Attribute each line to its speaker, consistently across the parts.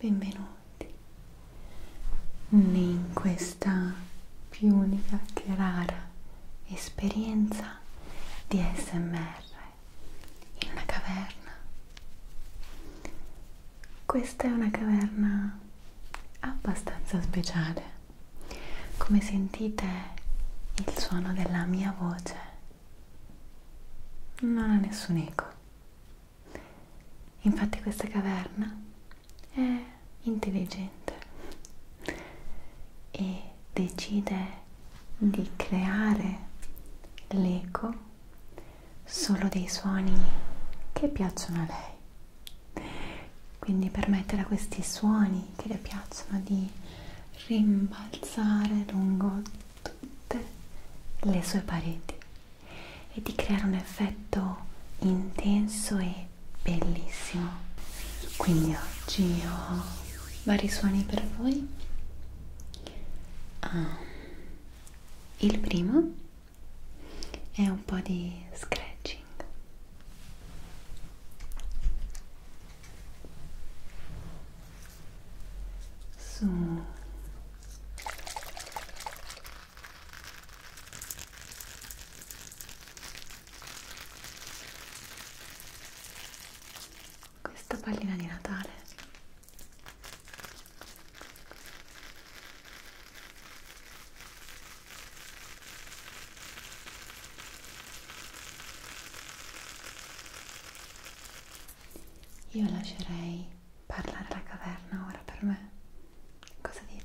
Speaker 1: benvenuti in questa più unica che rara esperienza di ASMR in una caverna. Questa è una caverna abbastanza speciale. Come sentite il suono della mia voce non ha nessun eco Infatti questa caverna è intelligente e decide di creare l'eco solo dei suoni che piacciono a lei. Quindi permettere a questi suoni che le piacciono di rimbalzare lungo tutte le sue pareti e di creare un effetto intenso e bellissimo. Quindi oggi ho vari suoni per voi. Ah, il primo è un po' di scratching. su questa pallina di Natale io lascerei parlare alla caverna ora per me. Cosa dite?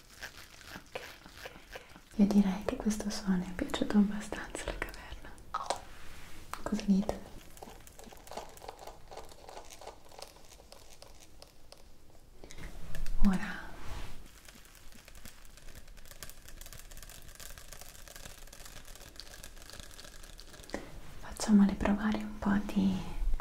Speaker 1: ok, ok. Io direi che questo suono è piaciuto abbastanza alla caverna. Cosa dite? Ora facciamole provare un po' di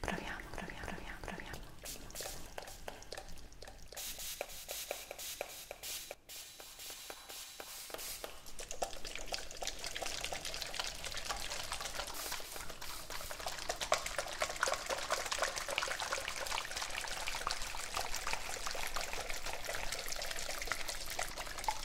Speaker 1: Proviamo, proviamo, proviamo, proviamo.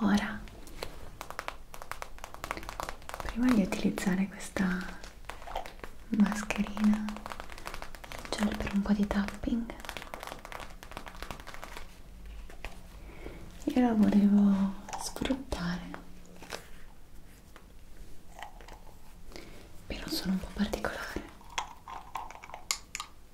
Speaker 1: Ora, prima di utilizzare questa mascherina gel per un po' di tapping, io la volevo sfruttare per un suono un po' particolare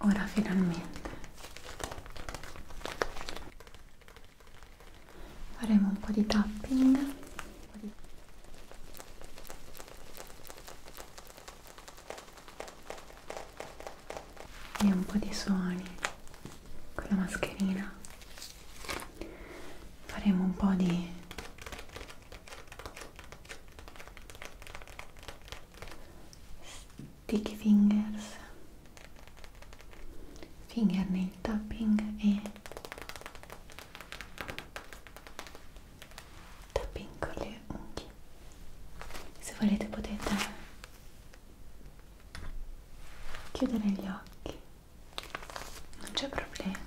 Speaker 1: Ora finalmente faremo un po' di tapping e un po' di suoni con la mascherina faremo un po' di sticky fingers fingernail tapping e da piccole unghie se volete potete chiudere gli occhi non c'è problema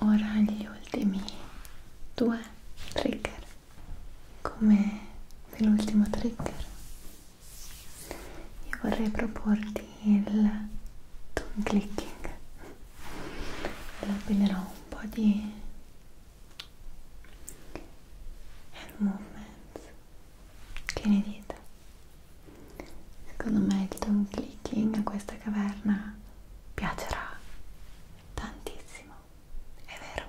Speaker 1: ora gli ultimi due trigger come nell'ultimo trigger io vorrei proporti il tongue clicking lo appinerò un po' di hand movements che ne dite? Secondo me il tone clicking a questa caverna piacerà tantissimo, è vero?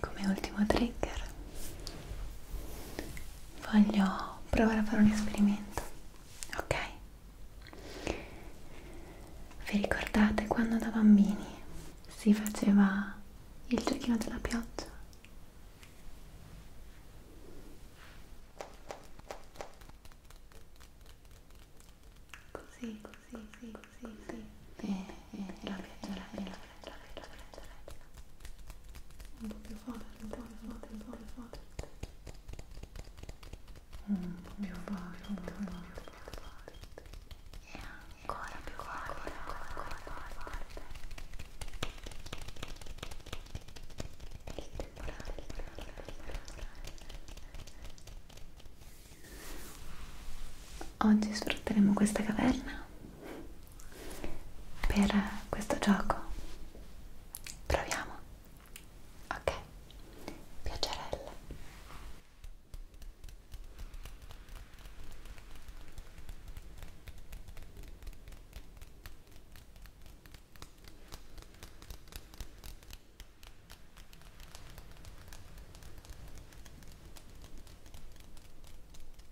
Speaker 1: Come ultimo trigger voglio provare a fare un esperimento, ok? Vi ricordate quando da bambini si faceva il giochino della pioggia? Così, così, così, così. E, eh, e, eh, e eh, la pioggia, la pioggia fredda, fredda, fredda, fredda. Un po' più forte, un po' più forte, un po' più forte. Un po' più forte, un po' più forte. E ancora più forte, ancora, ancora, ancora forte. Il temporale, il temporale, il temporale. Oggi sfrutteremo questa caverna per questo gioco proviamo ok piacerella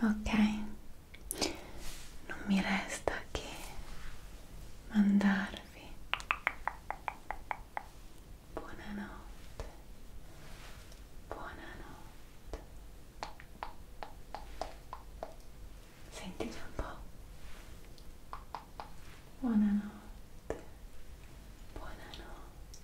Speaker 1: ok non mi resta che mandarvi buonanotte buonanotte sentite un po' buonanotte buonanotte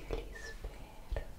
Speaker 1: Io li spero.